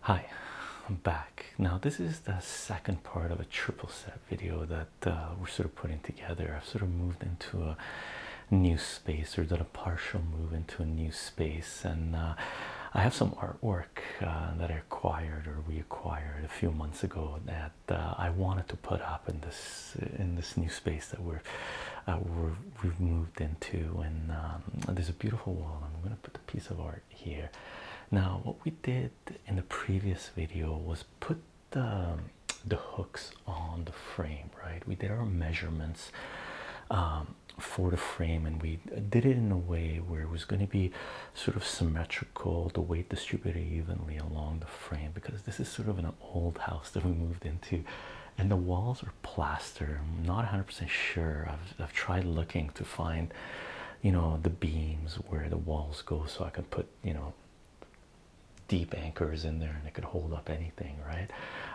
Hi, I'm back. Now, this is the second part of a triple set video that uh, we're sort of putting together. I've sort of moved into a new space or done a partial move into a new space, and uh, I have some artwork uh, that I acquired or we acquired a few months ago that that uh, I wanted to put up in this in this new space that we're uh, we have moved into, and um, there's a beautiful wall. I'm going to put a piece of art here. Now, what we did in the previous video was put the um, the hooks on the frame, right? We did our measurements. Um, for the frame, and we did it in a way where it was going to be sort of symmetrical, the weight distributed evenly along the frame because this is sort of an old house that we moved into, and the walls are plaster. I'm not 100% sure. I've, tried looking to find, you know, the beams where the walls go so I can put, you know, deep anchors in there and it could hold up anything, right?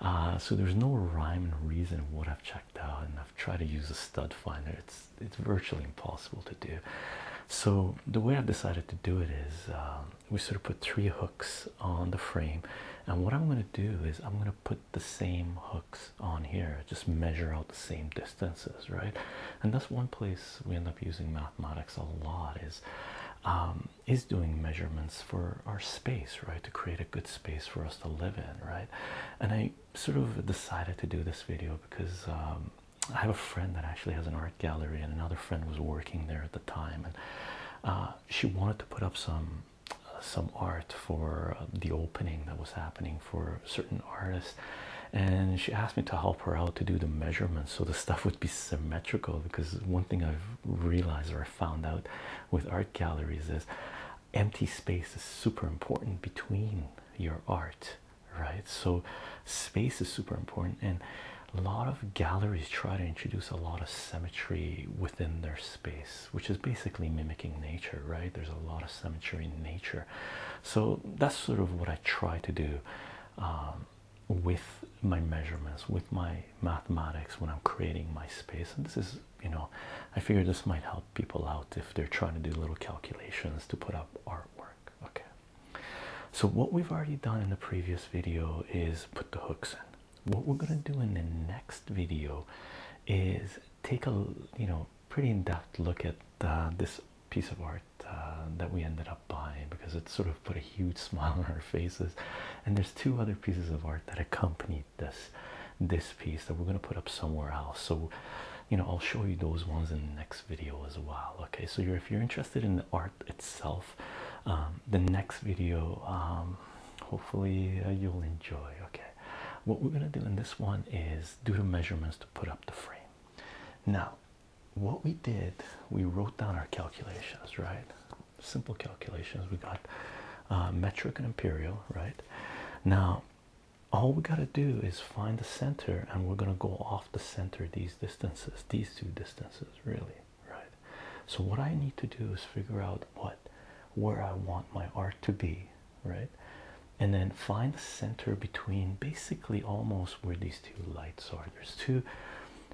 Uh, so there's no rhyme and reason what I've checked out, and I've tried to use a stud finder. It's it's virtually impossible to do. So the way I've decided to do it is um, we sort of put three hooks on the frame, and what I'm going to do is I'm going to put the same hooks on here, just measure out the same distances, right? And that's one place we end up using mathematics a lot is um, is doing measurements for our space, right? To create a good space for us to live in, right? And I sort of decided to do this video because. Um, I have a friend that actually has an art gallery, and another friend was working there at the time, and uh, she wanted to put up some some art for uh, the opening that was happening for certain artists, and she asked me to help her out to do the measurements so the stuff would be symmetrical. Because one thing I've realized or found out with art galleries is empty space is super important between your art right? So, space is super important, and a lot of galleries try to introduce a lot of symmetry within their space, which is basically mimicking nature, right? There's a lot of symmetry in nature, so that's sort of what I try to do. Um, with my measurements with my mathematics when i'm creating my space and this is you know i figure this might help people out if they're trying to do little calculations to put up artwork okay so, what we've already done in the previous video is put the hooks in. What we're going to do in the next video is take a you know pretty in-depth look at uh, this piece of art uh, that we ended up buying because it sort of put a huge smile on our faces and there's two other pieces of art that accompanied this this piece that we're going to put up somewhere else so you know i'll show you those ones in the next video as well okay so you're if you're interested in art itself. Um, the next video, um, hopefully, uh, you'll enjoy. Okay, what we're gonna do in this one is do the measurements to put up the frame. Now, what we did, we wrote down our calculations, right? Simple calculations. We got uh, metric and imperial, right? Now, all we gotta do is find the center, and we're gonna go off the center these distances these two distances really right so what i need to do is figure out what where i want my art to be right and then find the center between basically almost where these two lights are there's two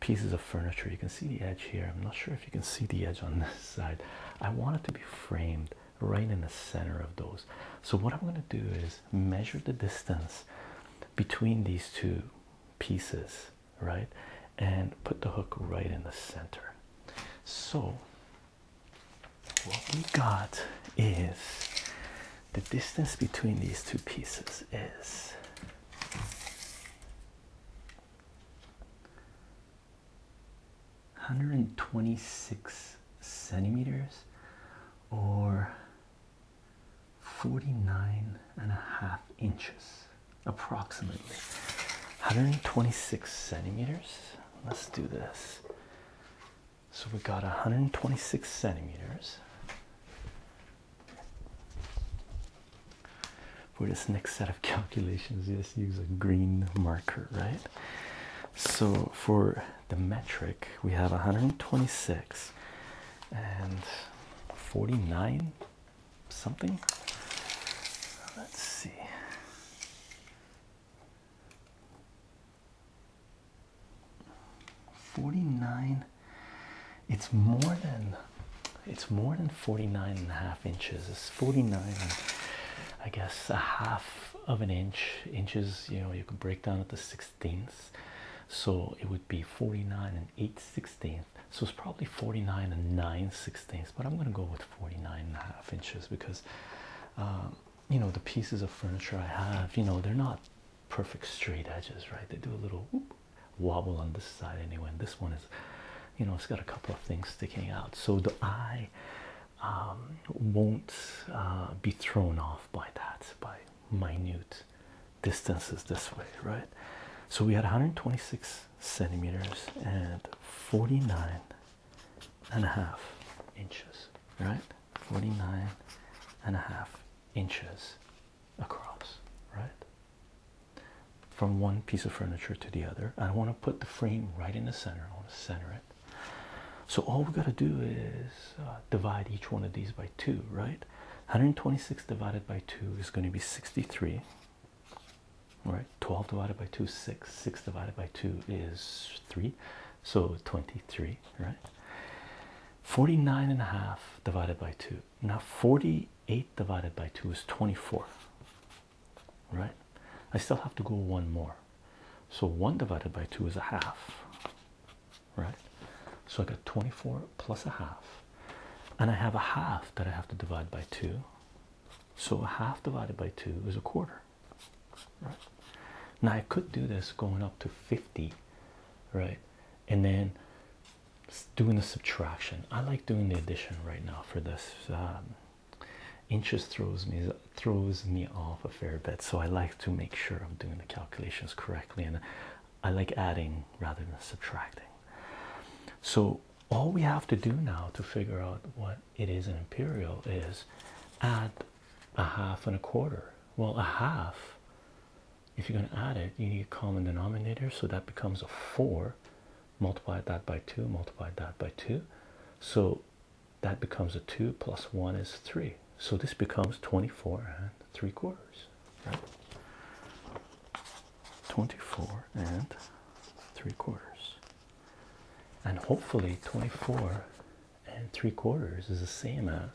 pieces of furniture you can see the edge here i'm not sure if you can see the edge on this side i want it to be framed right in the center of those so what i'm going to do is measure the distance between these two pieces, right? And put the hook right in the center. So, what we got is the distance between these two pieces is. Hundred and twenty six centimeters, or 49 and a half inches approximately 126 centimeters let's do this so we got 126 centimeters for this next set of calculations just use a green marker right so for the metric we have 126 and 49 something. Let's see. Forty-nine. It's more than it's more than 49 and a half inches. It's 49 I guess a half of an inch. Inches, you know, you can break down at the six so it would be 49 and 8 sixteenths so it's probably 49 and 9 sixteenths but i'm going to go with 49 and a half inches because um, you know the pieces of furniture i have you know they're not perfect straight edges right they do a little wobble on this side anyway and this one is you know it's got a couple of things sticking out so the eye um, won't uh, be thrown off by that by minute distances this way, right? So we had 126 centimeters and 49 and a half inches, right? 49 and a half inches across, right? From one piece of furniture to the other. I want to put the frame right in the center, I want to center it. So all we got to do is uh, divide each one of these by 2, right? 126 divided by 2 is going to be 63. Right? 12 divided by 2 is 6. 6 divided by 2 is 3. So 23, right? 49 and a half divided by 2. Now 48 divided by 2 is 24. Right? I still have to go one more. So 1 divided by 2 is a half right? So I got 24 plus a half, and I have a half that I have to divide by two. So a half divided by two is a quarter, right? Now I could do this going up to 50, right? And then doing the subtraction. I like doing the addition right now for this. Um, inches throws me throws me off a fair bit, so I like to make sure I'm doing the calculations correctly, and I like adding rather than subtracting. So, all we have to do now to figure out what it is in imperial is add a half and a quarter. Well, a half, if you're going to add it, you need a common denominator, so that becomes a four. Multiply that by two, multiply that by two. So that becomes a 2 plus 1 is 3 so this becomes 24 and 3 quarters right 24 and 3 quarters and hopefully 24 and 3 quarters is the same as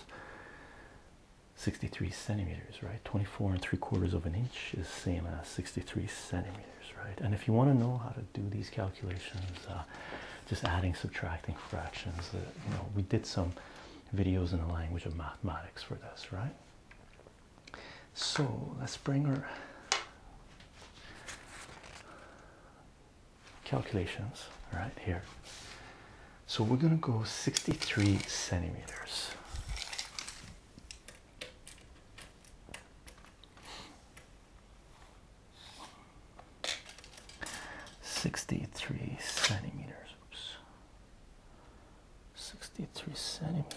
63 centimeters right 24 and 3 quarters of an inch is the same as 63 centimeters right and if you want to know how to do these calculations uh, just adding subtracting fractions uh, you know we did some videos in the language of mathematics for this, right? So let's bring our calculations right here. So we're going to go 63 centimeters. 63 centimeters. Oops. 63 centimeters.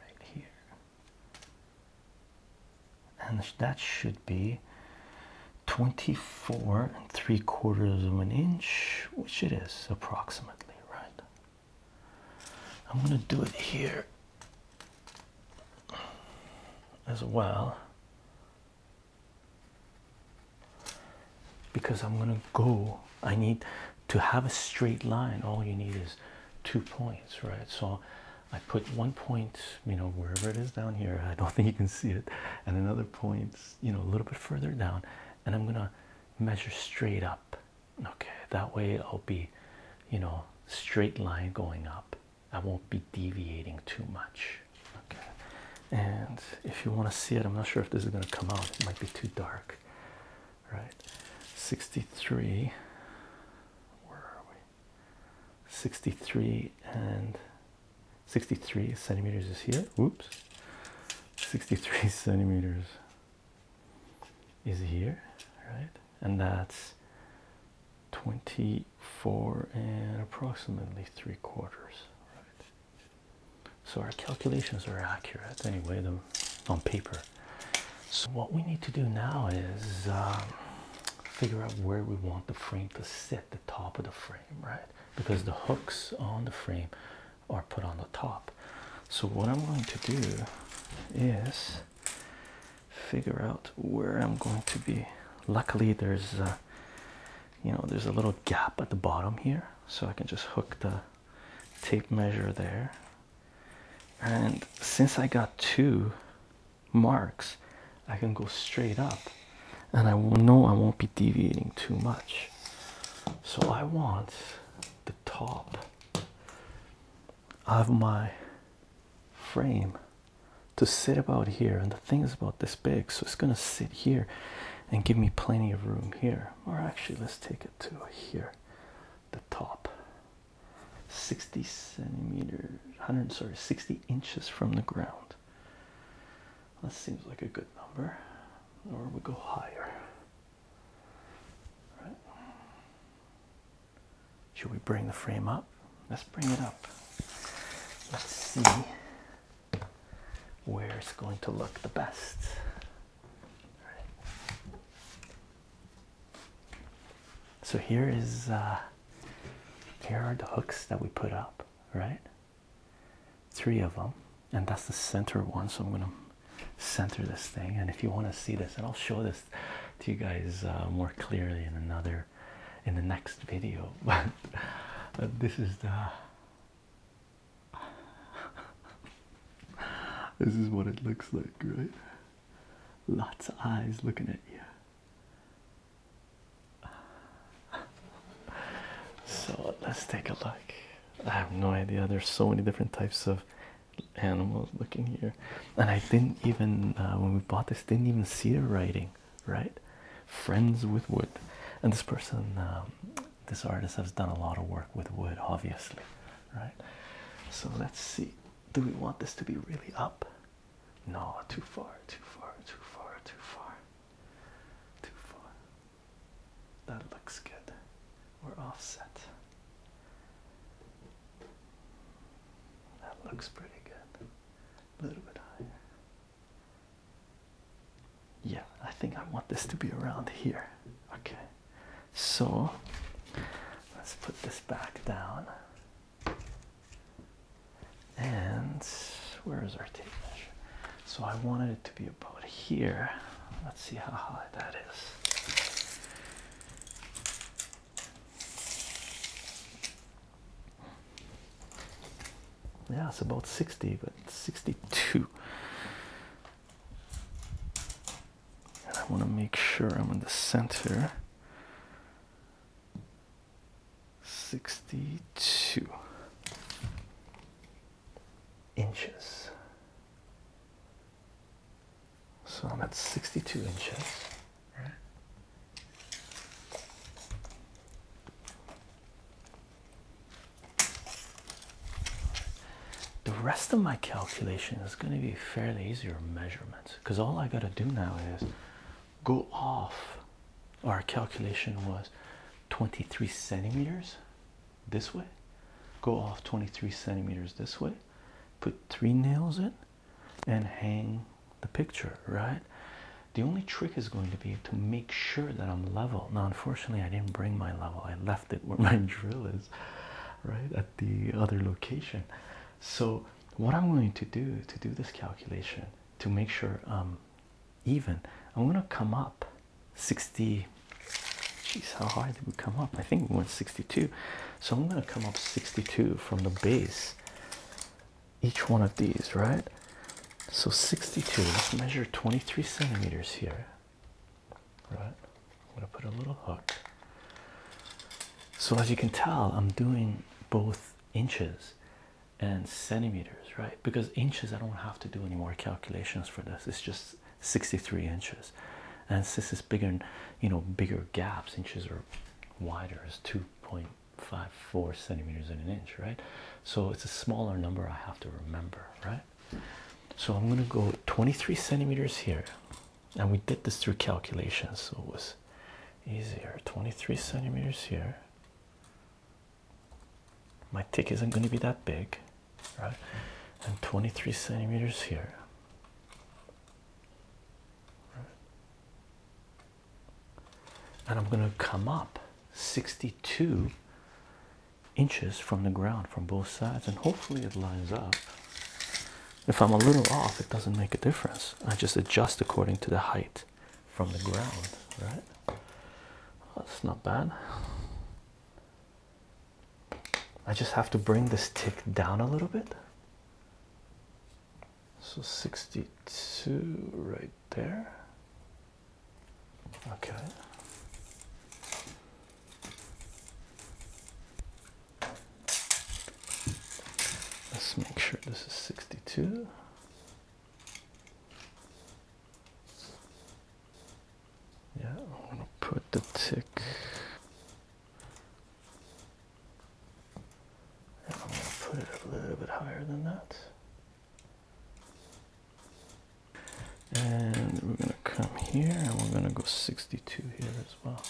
Right here. And that should be 24 and 3 quarters of an inch, which it is approximately, right? I'm going to do it here as well because I'm gonna go I need to have a straight line all you need is two points right so I put one point you know wherever it is down here I don't think you can see it and another point you know a little bit further down and I'm gonna measure straight up okay that way I'll be you know straight line going up I won't be deviating too much. Okay, and if you want to see it, I'm not sure if this is going to come out, it might be too dark, right? 63, where are we? 63 and 63 centimeters is here. Whoops. 63 centimeters is here, right? and that's 24 and approximately three quarters right so our calculations are accurate anyway the, on paper so what we need to do now is um, figure out where we want the frame to sit the top of the frame right because the hooks on the frame are put on the top so what i'm going to do is figure out where I'm going to be. Luckily, there's a, uh, you know there's a little gap at the bottom here, so I can just hook the tape measure there. And since I got two marks, I can go straight up, and I know I won't be deviating too much. So I want the top of my frame to sit about here and the thing is about this big so it's going to sit here and give me plenty of room here or actually let's take it to here the top 60 centimeters 100 sorry 60 inches from the ground that seems like a good number or we go higher right should we bring the frame up? Let's bring it up. Let's see where it's going to look the best. So here is uh, here are the hooks that we put up, right? Three of them, and that's the center one. So I'm going to center this thing. And if you want to see this, and I'll show this to you guys uh, more clearly in another in the next video but uh, this is the this is what it looks like right lots of eyes looking at you so let's take a look I have no idea there's so many different types of animals looking here and i didn't even uh, when we bought this didn't even see the writing right friends with wood and this person um, this artist has done a lot of work with wood obviously right so let's see do we want this to be really up no too far too far too far too far too far that looks good we're offset that looks pretty good. A little bit higher. Yeah, I think I want this to be around here. Okay. So let's put this back down. And where is our tape measure? So I wanted it to be about here. Let's see how high that is. Yeah, it's about 60, but 62. I want to make sure I'm in the center. 62 inches. So I'm at 62 inches, The rest of my calculation is going to be fairly easier measurements because all I got to do now is go off. Our calculation was 23 centimeters this way, go off 23 centimeters this way, put three nails in, and hang the picture, right? The only trick is going to be to make sure that I'm level. Now, unfortunately, I didn't bring my level. I left it where my drill is, right, at the other location. So, what I'm going to do to do this calculation to make sure um even, I'm going to come up 60. Geez, how high did we come up? I think we went 62. So I'm going to come up 62 from the base, each one of these, right? So 62, let's measure 23 centimeters here, right? I'm going to put a little hook. So as you can tell, I'm doing both inches and centimeters, right? Because inches, I don't have to do any more calculations for this. It's just 63 inches and this is bigger and you know bigger gaps inches are wider is 2.54 centimeters in an inch right so it's a smaller number i have to remember right so i'm going to go 23 centimeters here and we did this through calculations so it was easier 23 centimeters here my tick isn't going to be that big right and 23 centimeters here and I'm going to come up 62 inches from the ground from both sides and hopefully it lines up if I'm a little off it doesn't make a difference I just adjust according to the height from the ground right that's not bad I just have to bring this tick down a little bit so 62 right there. Okay. Let's make sure this is 62. Yeah, I'm gonna put the tick and I'm going to put it a little bit higher than that. And we're going to come here and we're going to go 62 here as well.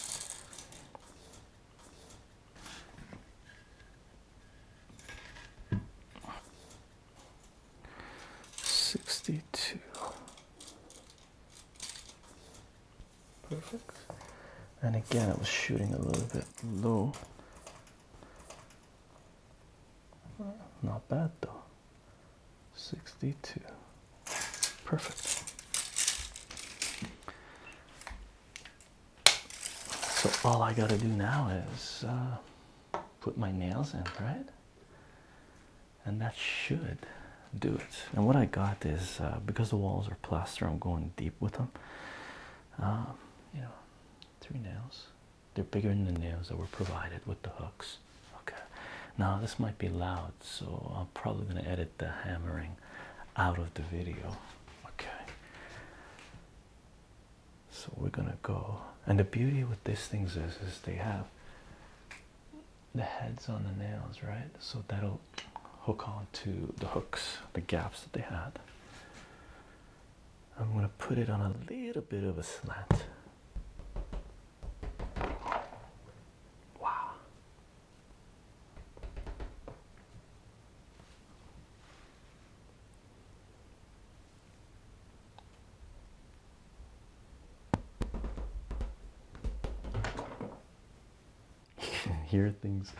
Sixty-two. Perfect. And again, it was shooting a little bit low. Not bad though. 62. Perfect. So all I gotta do now is uh, put my nails in, right? And that should do it. And what I got is uh, because the walls are plaster, I'm going deep with them. Um, you know, three nails. They're bigger than the nails that were provided with the hooks. Okay. Now this might be loud, so I'm probably going to edit the hammering out of the video. Okay. So we're gonna go, and the beauty with these things is, is they have the heads on the nails, right? So that'll hook on to the hooks, the gaps that they had. I'm going to put it on a little bit of a slant. Wow. You can hear things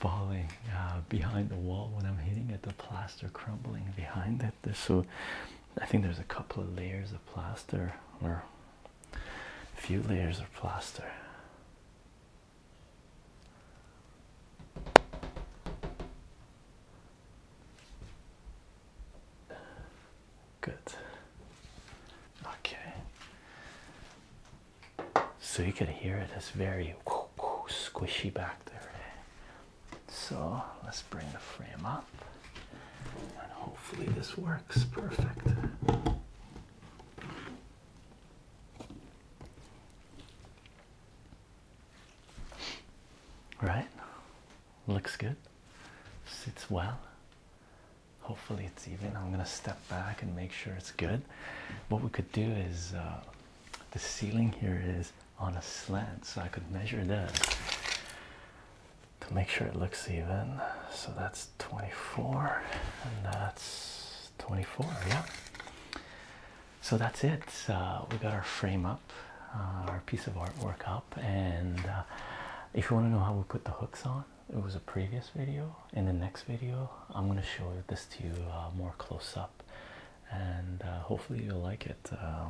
falling uh, behind the wall when I'm hitting it, the plaster crumbling behind it. so I think there's a couple of layers of plaster or a few layers of plaster. Good. Okay. So you can hear it. It's very squishy back there. Eh? So let's bring the frame up, and hopefully this works perfect. Right? Looks good. Sits well. Hopefully, it's even. I'm gonna step back and make sure it's good. What we could do is uh, the ceiling here is on a slant, so I could measure that to make sure it looks even. So that's 24, and that's 24. Yeah. So that's it. Uh, we got our frame up, uh, our piece of artwork up, and if you want to know how we put the hooks on, it was a previous video in the next video i'm going to show this to you uh, more close up and uh, hopefully you'll like it uh,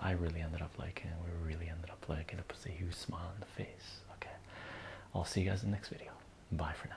i really ended up liking it we really ended up liking it it puts a huge smile on the face okay i'll see you guys in the next video bye for now